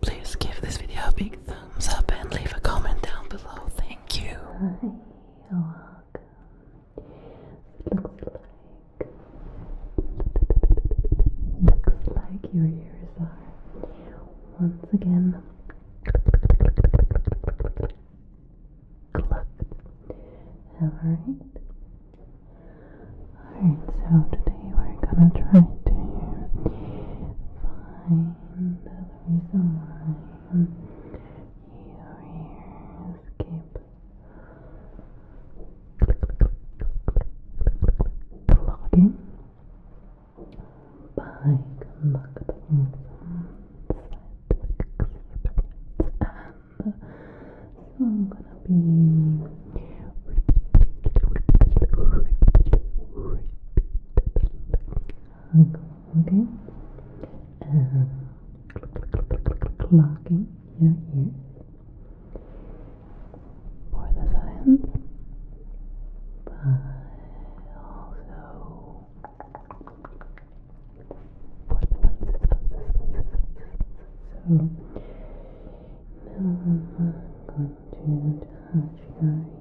Please give this video a big thumbs up and leave a comment down below. Thank you. Looks like your ears are once again Alright. Alright, so today we're gonna try to find the reason why your keep clogging by conducting some scientific experiments so I'm gonna be Okay. Uh, clocking your ear for the science, but also for the So now I'm going to touch your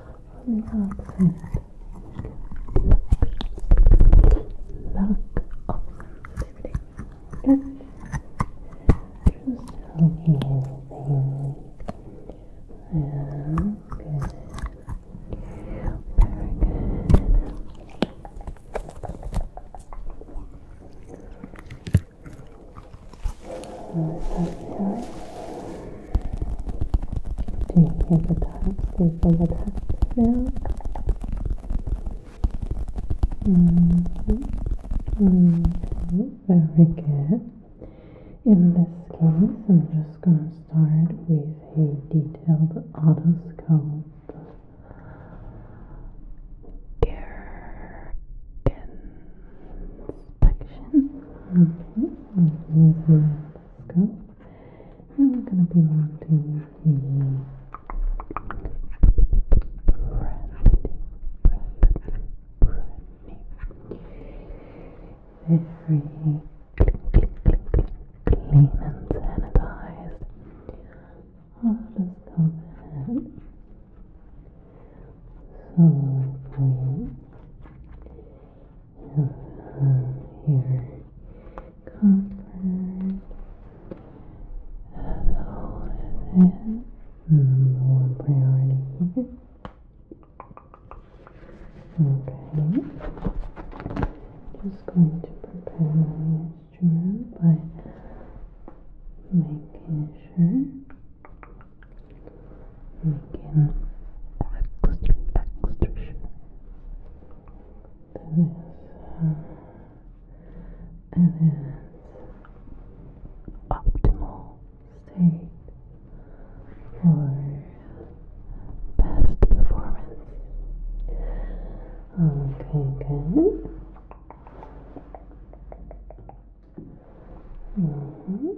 relaxing lack of sensitivity. Just, just looking everything. Yeah, Very good. So, Stay here at the top, stay for the top Okay, very good. In this case, I'm just going to start with a detailed autoscope. Care inspection. Okay, I'm mm-hmm. mm-hmm. using and we're going to be wanting the brandy, brandy, brandy. Very clean and sanitized. I'll just So, we of your comfort. As always, is number one priority Okay. Just going to prepare my instrument by making sure making extra, extra sure. That is, uh, it is optimal state for best performance. Okay, good. -hmm.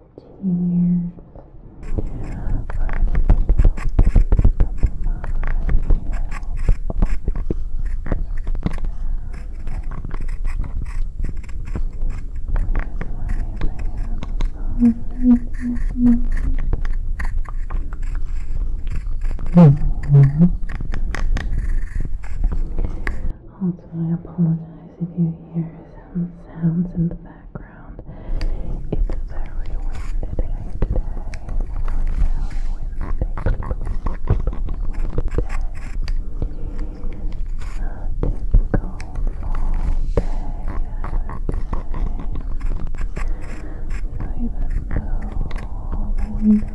tears. Also, I apologize if you hear some sounds in the background. It's very windy day today. Very windy day. A typical fall day. even though all the windows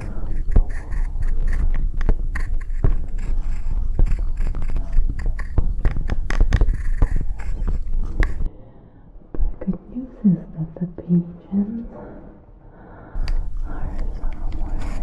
The good news is that the pigeons are somewhere else.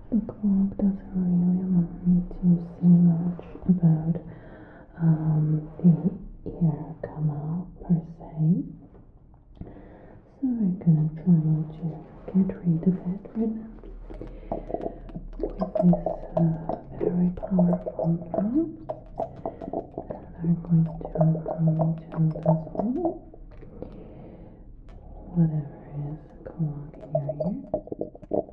the clock doesn't really want me to say much about um, the ear canal per se. So I'm gonna try to get rid of it right now with this uh, very powerful drop. And I'm going to remove to this one, whatever is clogging your ear.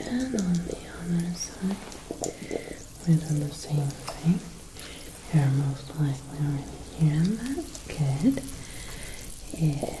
and on the other side we are done the same thing you're most likely already hearing that good yeah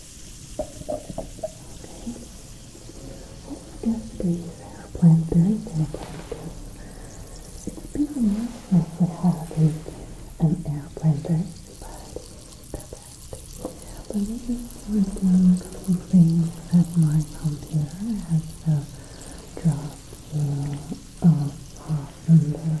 Okay. Just breathe. Plant very, very gentle. It's been nice we had an air planter, but but maybe we're doing something that my computer has uh, dropped uh, off on the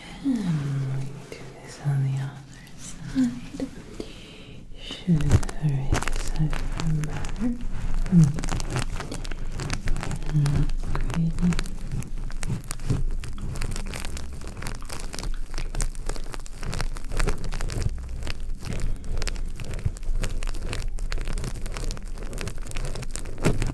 And do this on the other side. Should hurry this over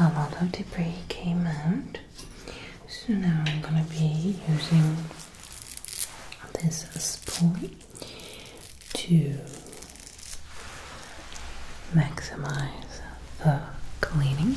All right, a lot of debris came out. So now I'm gonna be using this spoon to maximize the cleaning.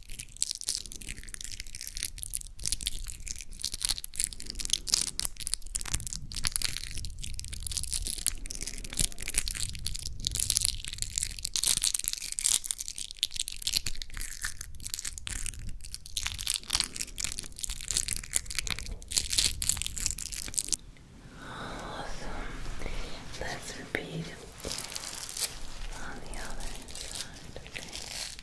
Awesome. Let's repeat on the other side. Okay.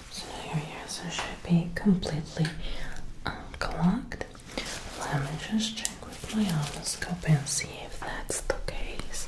so your ears should be completely unclogged. Um, Let me just check with my otoscope and see if that's the case.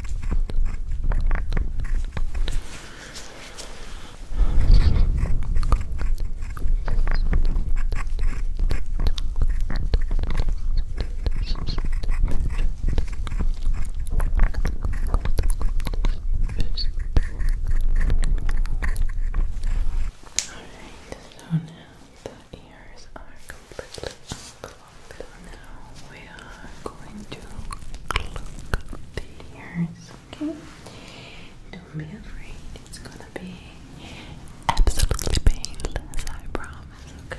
Alright, so now the ears are completely unclosed look, now we are going to pluck the ears, okay? Don't be afraid, it's gonna be absolutely painless, I promise, Okay.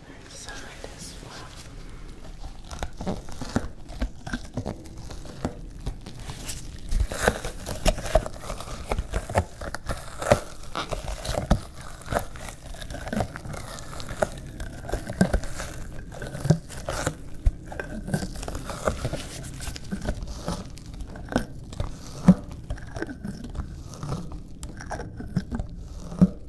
other side as well. Okay.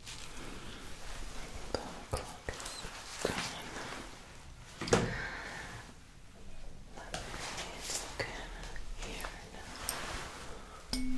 The clock is gone. Let me look in here now. Okay.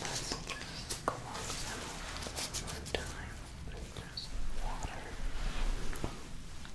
Let's close them one more time with just water. Okay.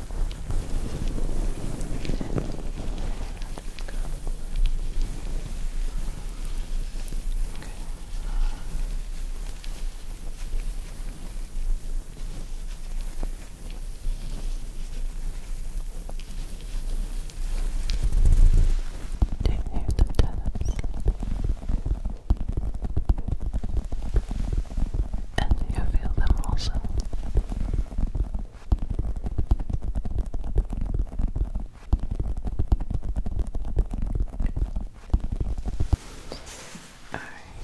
Take the tennis and you feel them also. All right.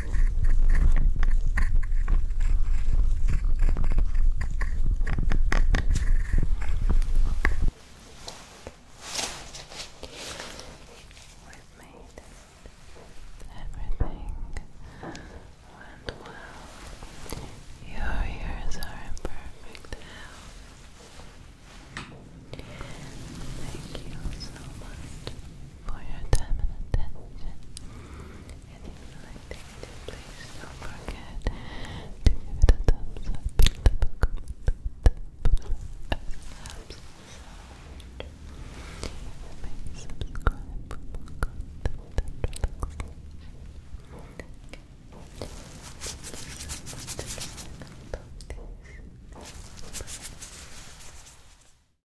We've made it. Everything went well. Your ears are in perfect health. Thank you so much for your time and attention. if you like this please don't forget to give it a thumbs up and leave a comment that helps us out. And maybe subscribe for more content that relaxes you. Okay.